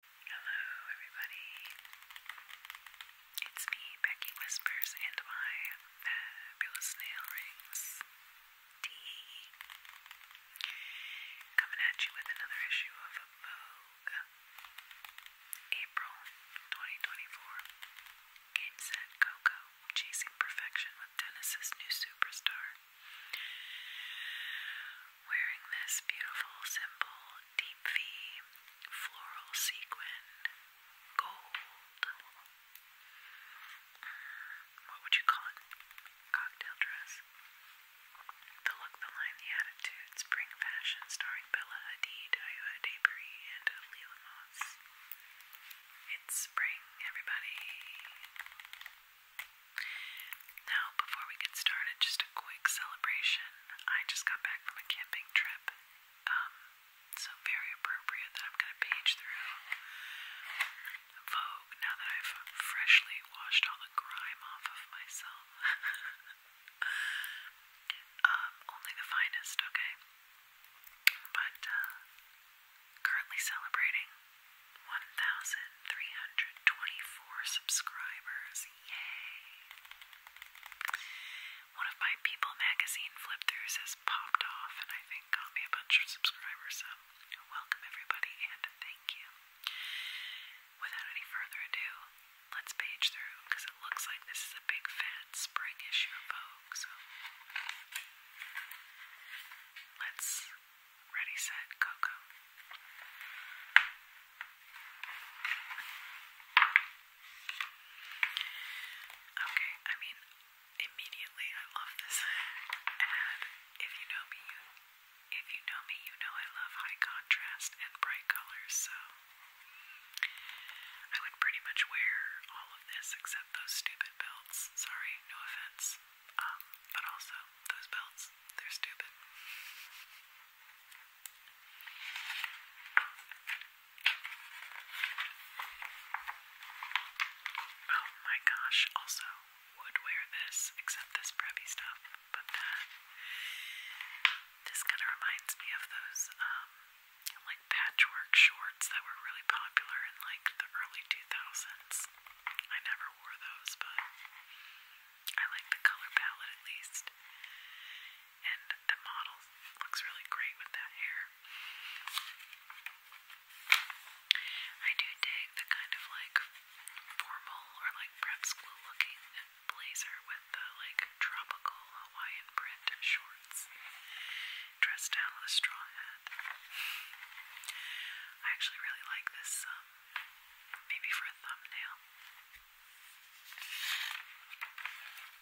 Hello, everybody. It's me, Becky Whispers, and my fabulous nail rings. Tea. Coming at you with another issue of Vogue. April 2024. Game set Coco, chasing perfection with Dennis's new superstar wearing this beautiful, simple, deep V floral sequin gold. Mm, what would you call it? Cocktail dress. The look, the line, the attitude, spring fashion starring Bella Hadid, Ayoa Debris, and Leela Moss. It's spring, everybody. Now, before we get started, just a quick celebration. I just got back from a camping trip, um, so very appropriate that I'm going to page through Vogue now that I've freshly washed all the grime off of myself. Um, only the finest, okay? But, uh, currently celebrating 1,324 subscribers. Yay! One of my People magazine flip throughs has popped off and I think got me a bunch of subscribers, so welcome everybody and thank you. Without any further ado, let's page through because it looks like this is a big fat spring issue of Vogue, so let's Ready, set, go, go. Okay, I mean, immediately I love this ad. If you know me, if you know me, you know I love high contrast and bright colors, so I would pretty much wear all of this except those stupid belts. Sorry, no offense. Um, but also those belts, they're stupid. Oh my gosh, also would wear this except this preppy stuff, but that this kind of reminds me of those um like patchwork shorts that were really popular in like the early 2000s. I never wore those, but I like the color palette at least. And the model looks really great with that hair. I do dig the kind of like formal or like prep school looking blazer with the like tropical Hawaiian print shorts dressed down with a straw hat. I actually really like this um Maybe for a thumbnail.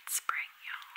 It's spring, y'all.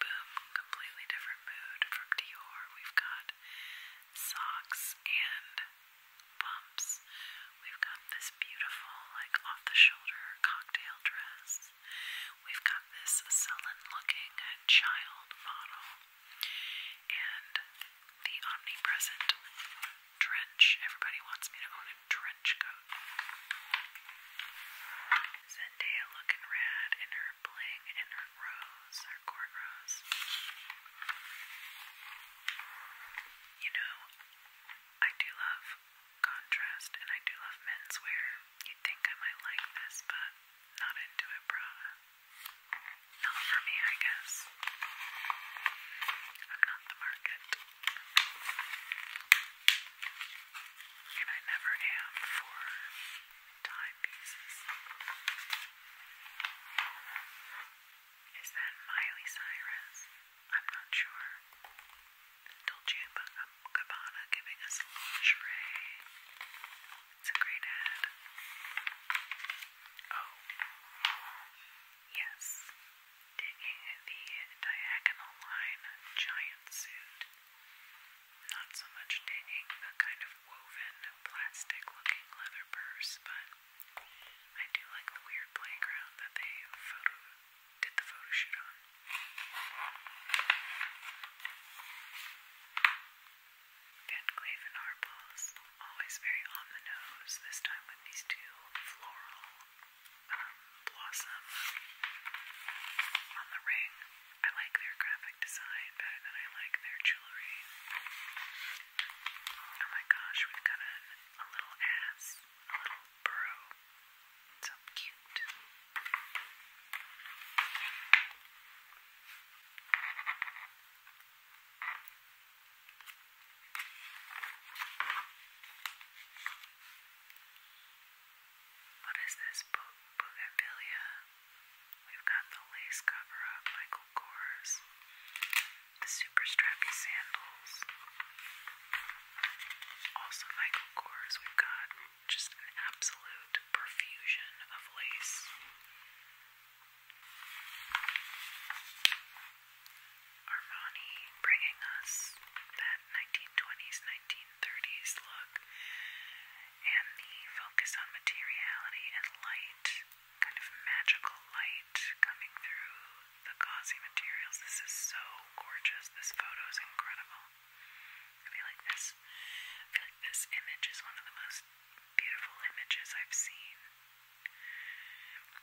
Boom, completely different mood from Dior. We've got socks and pumps. We've got this beautiful, like off the shoulder cocktail dress. We've got this sullen looking child model. And the omnipresent trench. Everybody wants me to own a trench coat. Zendaya looking rad in her bling and her rose, her cornrows. You know, I do love contrast and I do love menswear. You'd think I might like this, but not into it, brah. Not for me, I guess. I'm not the market. And I never am for timepieces. Is that Miley Cyrus? I'm not sure. Dolce & Gabbana giving us lingerie. It's a great ad. Oh. Yes. Digging the diagonal line giant suit. Not so much digging the kind of woven plastic looking leather purse, but I do like the weird playground that they did the photo shoot on. Van Cleef and Arpels, always very on the nose, this time with these two floral um, blossom on the ring. I like their graphic design better than I like their jewelry. Oh my gosh, we've got a, a little ass, a little burrow. So cute. What is this? Bougainvillea. We've got the lace cover up, Michael Kors, the super strappy sandals. Also, Michael Kors, we've got just an absolute profusion of lace. Armani bringing us that 1920s, 1930s look and the focus on materiality and light, kind of magical light coming through the gauzy materials. This is so gorgeous. This photo is incredible. I feel like this I feel like this image is one of the most beautiful images I've seen.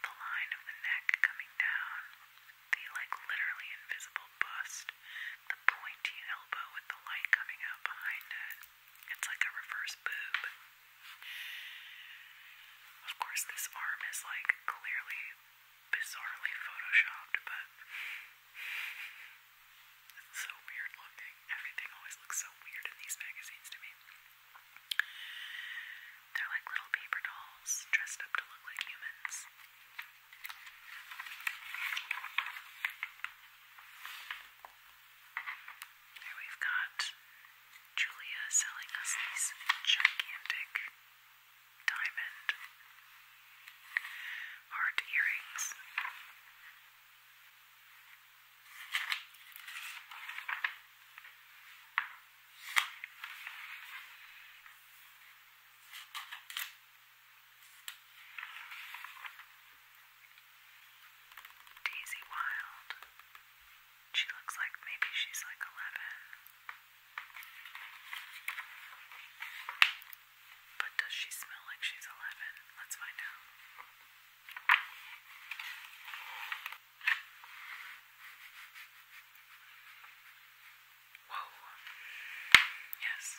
The line of the neck coming down, the like literally invisible bust, the pointy elbow with the light coming out behind it. It's like a reverse boob. Of course, this arm is like clearly bizarrely photoshopped, but it's so weird looking. Everything always looks so weird in these magazines to me. They're like little paper dolls dressed up to look like humans. Here we've got Julia selling us these gigantic diamond heart earrings. Daisy Wild. She looks like maybe she's like eleven. But does she smell like she's 11? Let's find out. Whoa. Yes.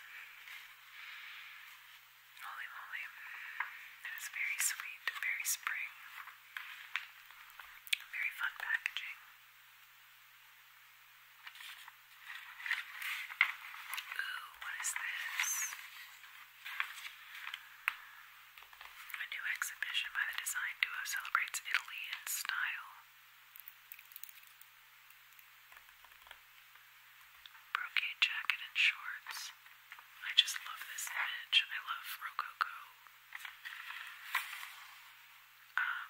Holy moly. It is very sweet, very spring. Very fun packaging. Ooh, what is this? A new exhibition by the design duo celebrates Italy in style. Brocade jacket and shorts. I just love this image. I love Rococo. Um,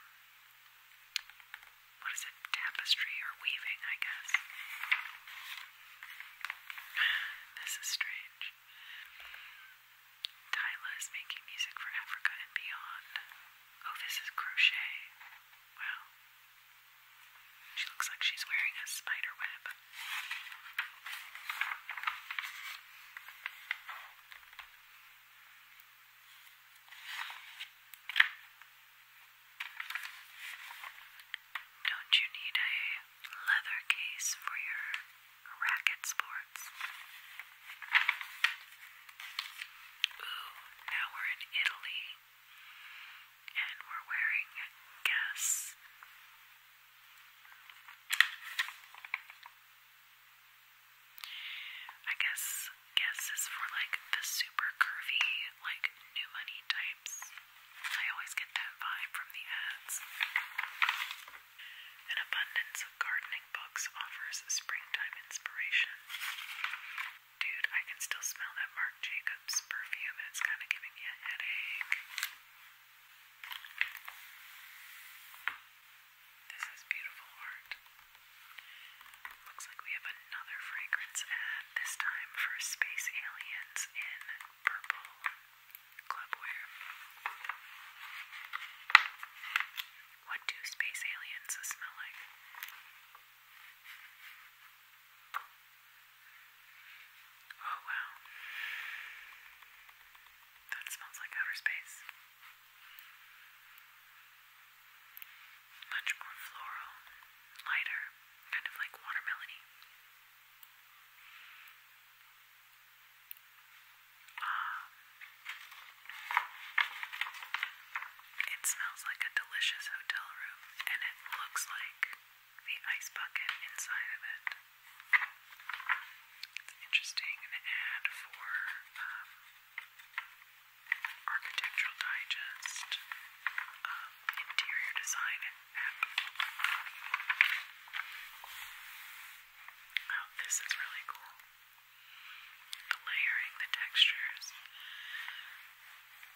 what is it, tapestry or weaving, I guess. This is strange. Tyla is making music for Africa and beyond. Oh, this is crochet. Wow. She looks like she's wearing a spider web. Don't you need a leather case for your racket sports? Ooh, now we're in Italy and we're wearing guess. I guess guess is for like the super curvy like new money types. I always get that vibe from the ads. An abundance of gardening books offers springtime inspiration. Dude, I can still smell that Marc Jacobs perfume, and it's kind of giving me a headache. This is beautiful art. Looks like we have another fragrance ad, this time for Space Aliens in purple clubwear. What do space aliens smell like? Oh wow. That smells like outer space. Much more floral, lighter, kind of like watermelony. Ah. It smells like a delicious hotel room, and it looks like the ice bucket inside of it. interesting, ad for um, Architectural Digest, um, Interior Design app. Oh, this is really cool. The layering, the textures,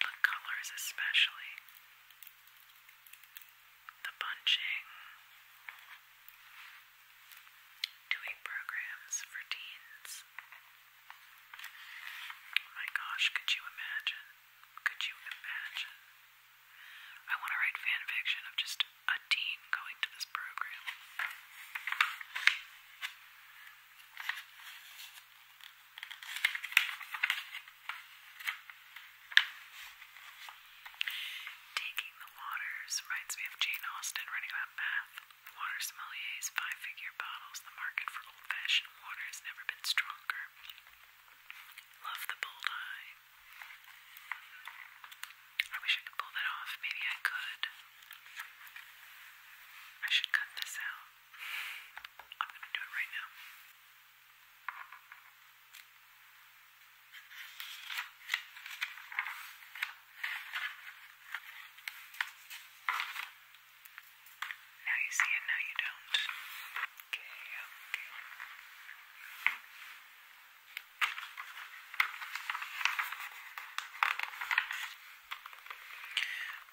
the colors especially, the bunching, doing programs for teens. My gosh, could you imagine? Could you imagine? I want to write fan fiction of just a teen going to this program. Taking the waters reminds me of Jane Austen running about bath. Water sommelier's five-figure bottles. The market for old-fashioned water has never been stronger. Love the bold eye. I wish I could pull that off. Maybe I could. I should cut this out. I'm going to do it right now. Now you see it, now you don't. Okay, okay.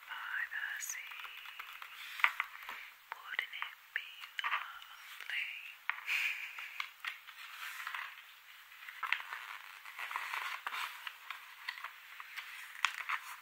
By the sea, wouldn't it be lovely? Now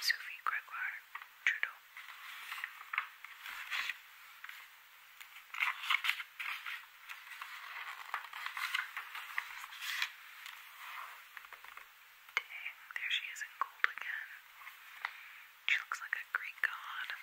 Sophie Gregoire Trudeau. Dang, there she is in gold again. She looks like a Greek god.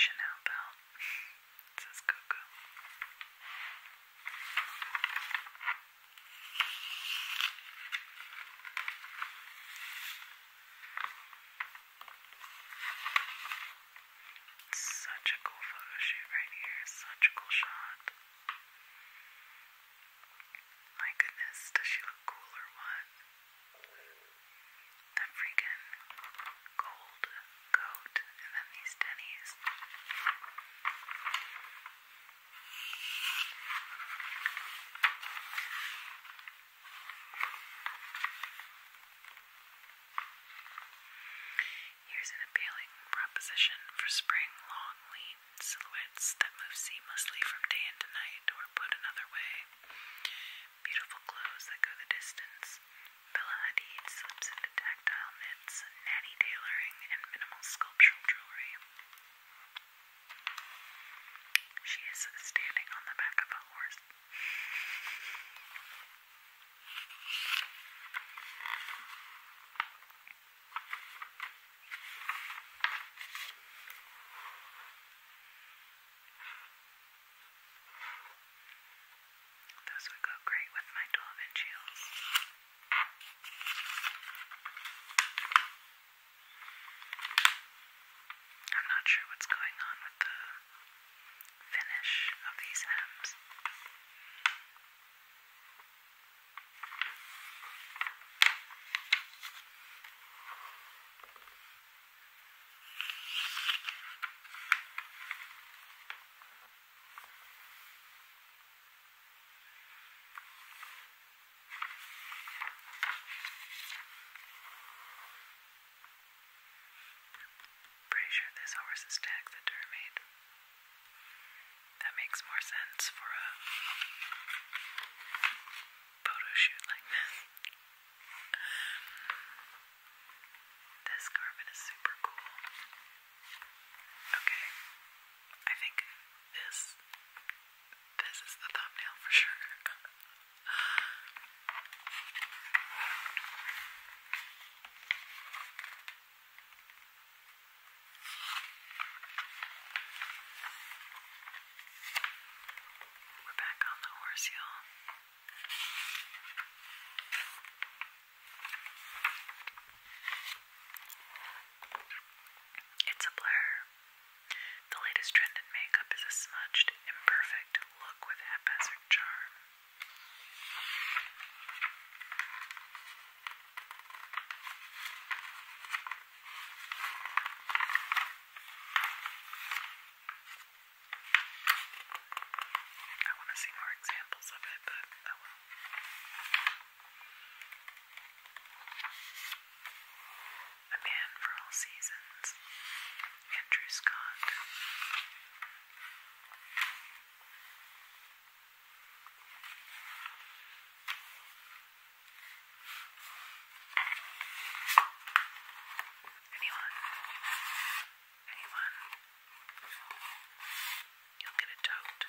Chanel belt. It says Coco. Such a cool photo shoot right here. Such a cool shot. My goodness, does she look cool or what? The freaking gold coat and then these Denny's. Here's an appealing proposition for spring long lean silhouettes that move seamlessly from day into night or put another way. Beautiful clothes that go the distance. Bella Hadid slips into tactile knits, natty tailoring, and minimal sculptural jewelry. She is standing on the back of a horse. Those would go great with my 12 inch heels. I'm not sure what's going on with the finish of these hems. I Pretty sure this horse is taxidermied. That makes more sense for a photo shoot like this. This carbon is super cool. Okay. I think this this is the thumbnail for sure. We're back on the horse, y'all. It's a blur. The latest trend in makeup is a smudged, imperfect look with haphazard charm. I want to see more examples of it, but I will. A Man for All Seasons, Andrew Scott. Anyone? Anyone? You'll get a tote.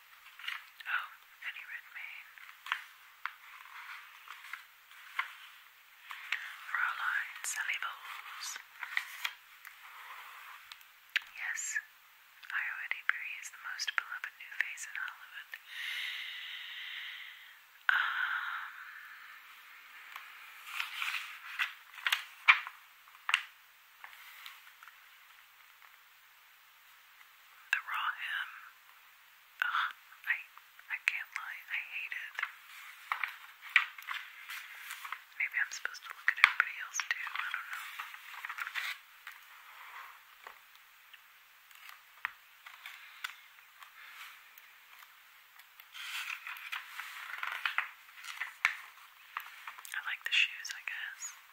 Oh, any red mane. Fraulein Yes, Iowa Debris is the most beloved new face in Hollywood. Um, the raw hem. Ugh, I I can't lie, I hate it. Maybe I'm supposed to look at everybody else too, I don't know. I like the shoes, I guess.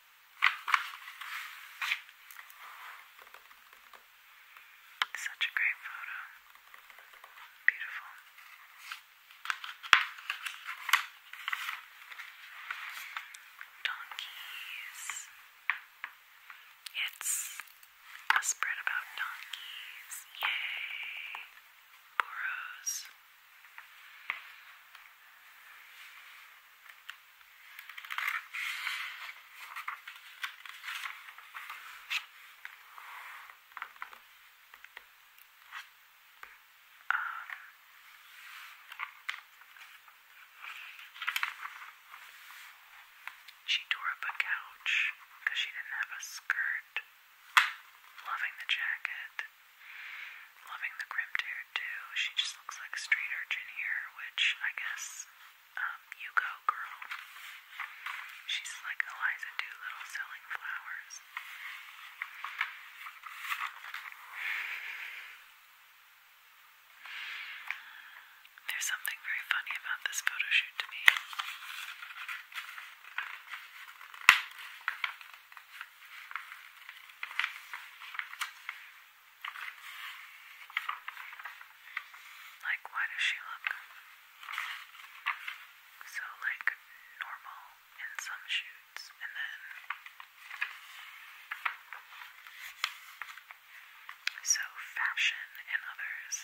Such a great photo. Beautiful. Donkeys. It's a spread about donkeys. Yay. Burros. She tore up a couch because she didn't have a skirt. Loving the jacket, Loving the crimped hair too. She just looks like a street urchin here, which I guess um, you go, girl. She's like Eliza Doolittle selling flowers. There's something very funny about this photo shoot to me. Like, why does she look so like normal in some shoots and then so fashion in others?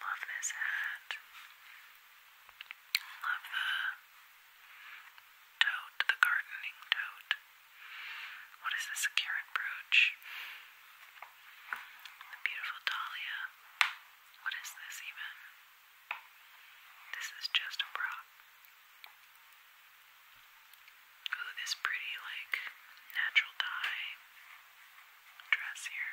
Love this hat. Love the tote, the gardening tote. What is this? A brooch. The beautiful dahlia. What is this even? This is just a prop. Ooh, this pretty like natural dye dress here.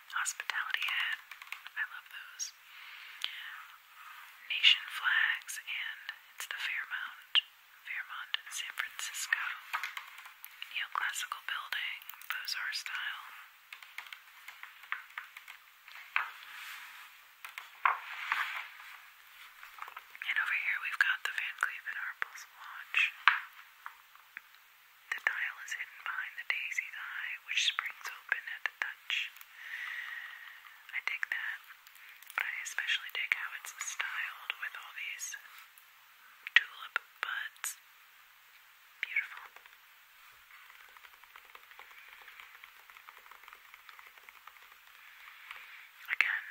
hospitality hat. I love those. Nation flags, and it's the Fairmount, Fairmont in San Francisco. Neoclassical building, those style. And over here we've got the Van Cleef & Arpels watch. The dial is hidden behind the daisy's eye, which springs open at the touch. I dig that, but I especially dig how it's styled with all these tulip buds. Beautiful. Again,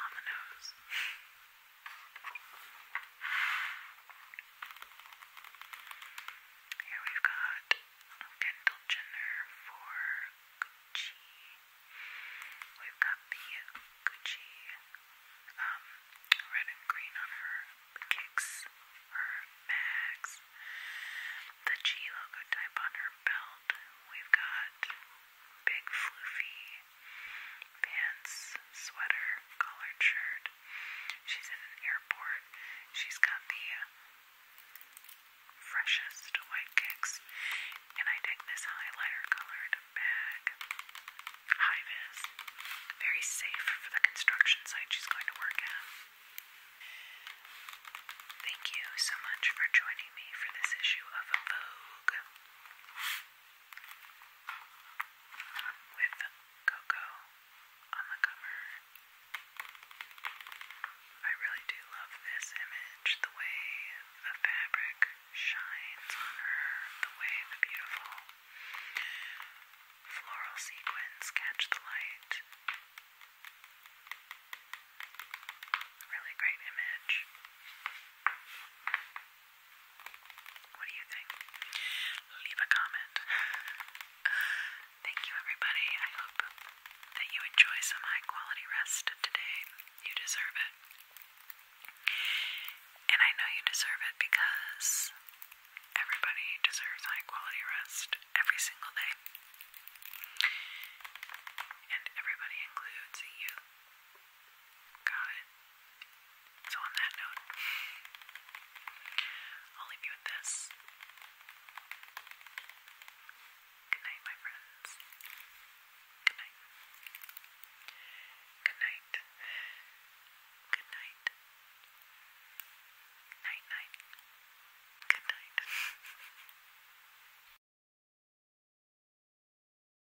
on the nose. Here we've got Kendall Jenner for Gucci. We've got the Gucci um, red and green on her kicks, her bags, the G logo type on her belt. We've got big floofy pants, sweater, collared shirt. She's in an airport. She's got the uh, freshest white kicks. And I dig this highlighter colored bag. High vis. Very safe for the construction site she's going to work at. Thank you so much for joining me for this issue of Vogue with cocoa on the cover. I really do love this image, the way the fabric shines on her, the way the beautiful floral sequins catch the light. Really great image. What do you think? Leave a comment. Thank you, everybody. I hope that you enjoy some high quality rest today. You deserve it. And I know you deserve it because everybody deserves high quality rest every single day. And everybody includes you. Got it. So, on that note, I'll leave you with this. Good night, my friends. Good night. Good night. Good night. Night, night. Good night.